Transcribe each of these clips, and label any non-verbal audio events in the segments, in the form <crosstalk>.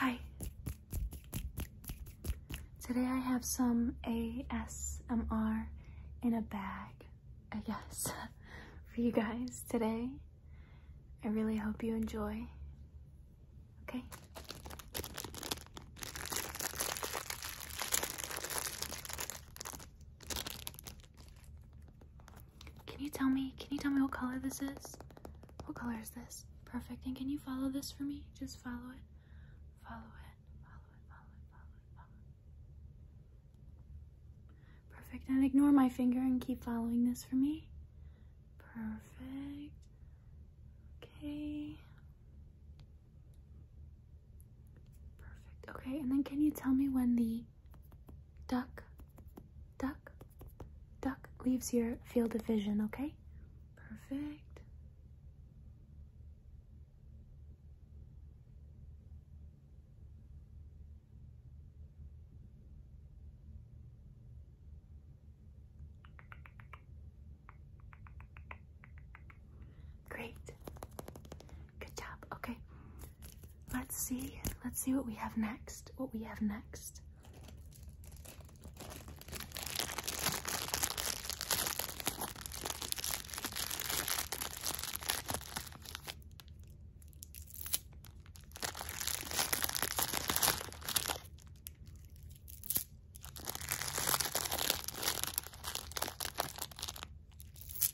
Hi. Today I have some ASMR in a bag, I guess, <laughs> for you guys today. I really hope you enjoy. Okay. Can you tell me? Can you tell me what color this is? What color is this? Perfect. And can you follow this for me? Just follow it. Follow it. Follow it. Follow it. Follow it. Perfect. And ignore my finger and keep following this for me. Perfect. Okay. Perfect. Okay. And then can you tell me when the duck, duck, duck leaves your field of vision, okay? Perfect. Great. Good job. Okay. Let's see. Let's see what we have next. What we have next.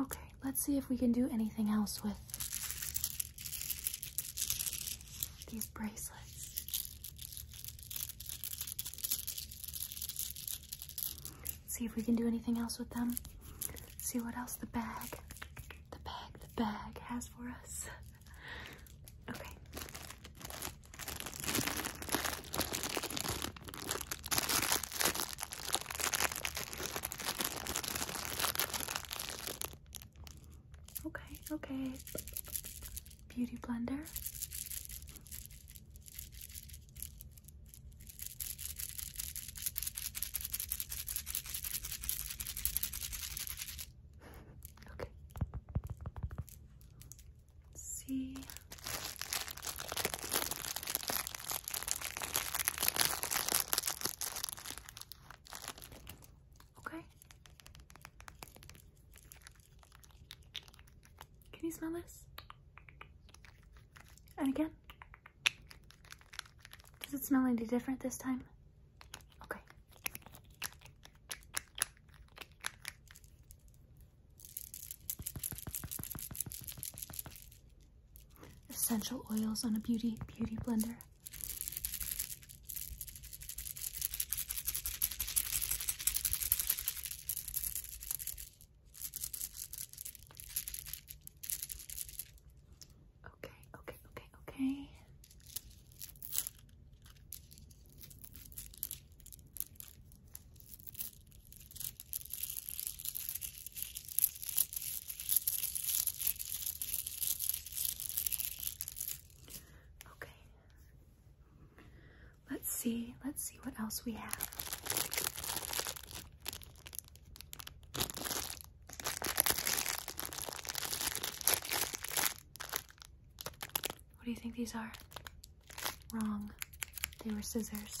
Okay, let's see if we can do anything else with these bracelets. See if we can do anything else with them. See what else the bag, the bag, the bag has for us. <laughs> Okay, Okay, okay. Beauty blender. <laughs> Okay. Let's see. Okay. Can you smell this? And again? Does it smell any different this time? Okay. Essential oils on a beauty beauty blender. Okay, okay, okay, okay. Okay. Let's see. Let's see what else we have. What do you think these are? Wrong. They were scissors.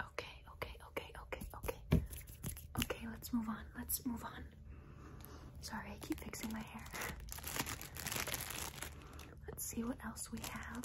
Okay, okay, okay, okay, okay. Okay, let's move on. Let's move on. Sorry, I keep fixing my hair. Let's see what else we have.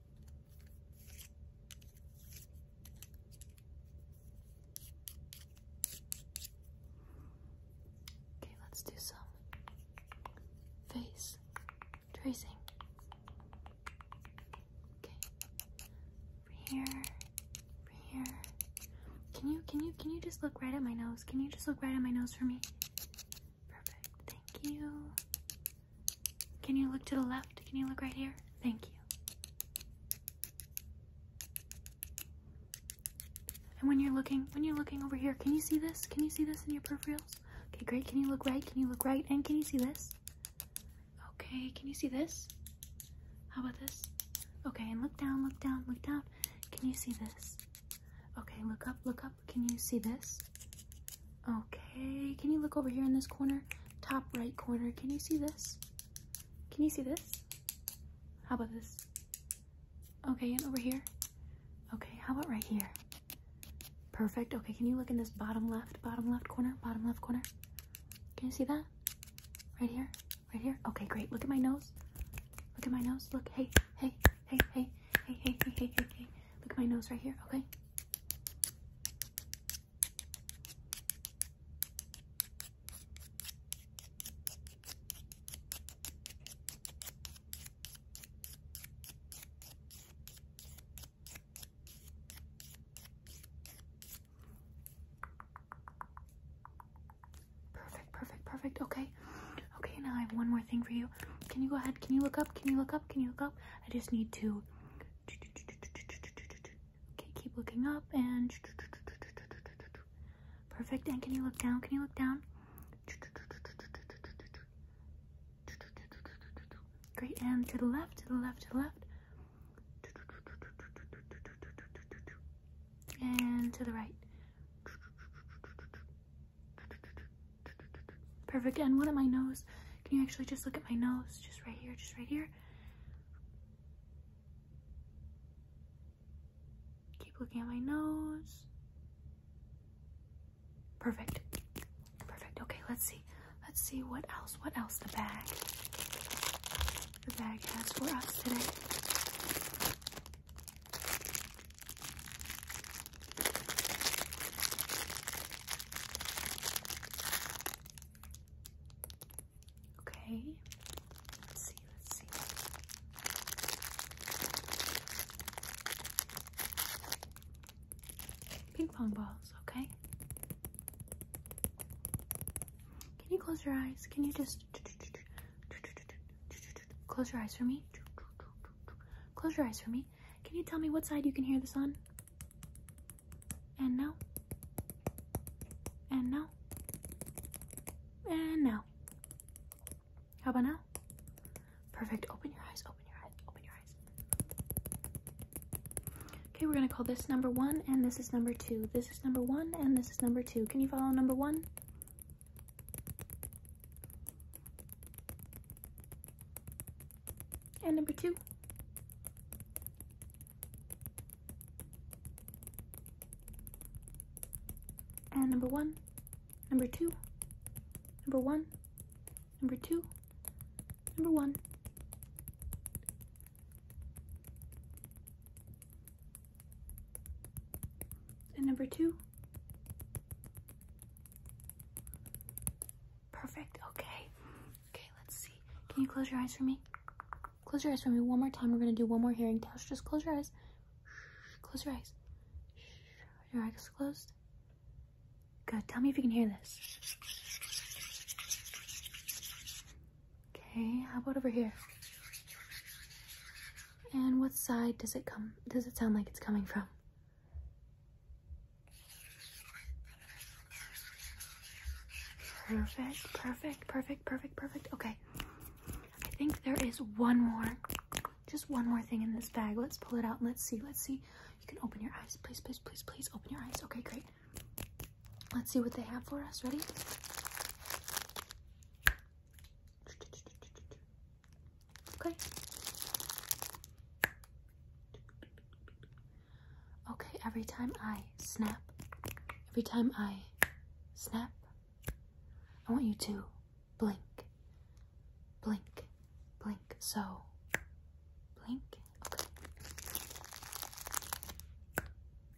Okay, let's do some face tracing. Okay. Over here. Over here. Can you can you can you just look right at my nose? Can you just look right at my nose for me? Perfect. Thank you. Can you look to the left? Can you look right here? Thank you. And when you're looking, when you're looking over here, can you see this? Can you see this in your peripherals? Okay, great. Can you look right? Can you look right? And can you see this? Okay, can you see this? How about this? Okay, and look down, look down, look down. Can you see this? Okay, look up, look up, can you see this? Okay, can you look over here in this corner? Top right corner. Can you see this? Can you see this? How about this? Okay, and over here? Okay, how about right here? Perfect. Okay, can you look in this bottom left, bottom left corner, bottom left corner? Can you see that? Right here? Right here? Okay, great. Look at my nose. Look at my nose. Look. Hey, hey, hey, hey. Hey, hey, hey, hey, hey, Look at my nose right here, okay? Perfect, perfect, perfect. Okay. Okay, now I have one more thing for you. Can you go ahead? Can you look up? Can you look up? Can you look up? I just need to. Okay, keep looking up and. Perfect. And can you look down? Can you look down? Great. And to the left, to the left, to the left. And to the right. Perfect. And what at my nose. Can you actually just look at my nose? Just right here, just right here. Keep looking at my nose. Perfect. Perfect. Okay, let's see. Let's see what else. What else? The bag. The bag has for us today. Okay. Let's see. Let's see. Ping pong balls, okay? Can you close your eyes? Can you just Close your eyes for me. Close your eyes for me. Can you tell me what side you can hear this on? And now. And now. And now. How about now? Perfect. Open your eyes. Open your eyes. Open your eyes. Okay, we're going to call this number one, and this is number two. This is number one, and this is number two. Can you follow number one? And number two. And number one, number two, number one, number two, number one. And number two. Perfect, okay. Okay, let's see. Can you close your eyes for me? Close your eyes for me one more time. We're gonna do one more hearing test. Just close your eyes. Close your eyes. Your eyes closed. Good, tell me if you can hear this. Okay, how about over here? And what side does it come does it sound like it's coming from? Perfect, perfect, perfect, perfect, perfect. Okay. I think there is one more. Just one more thing in this bag. Let's pull it out and let's see. Let's see. You can open your eyes. Please, please, please, please open your eyes. Okay, great. Let's see what they have for us. Ready? Okay. Okay, every time I snap, every time I snap, I want you to blink, blink, blink. So, blink. Okay.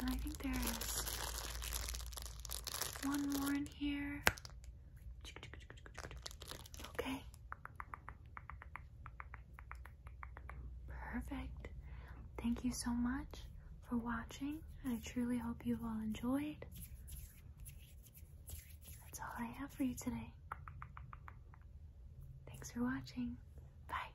And I think there is one more in here. Okay. Perfect. Thank you so much for watching. I truly hope you've all enjoyed. That's all I have for you today. Thanks for watching. Bye.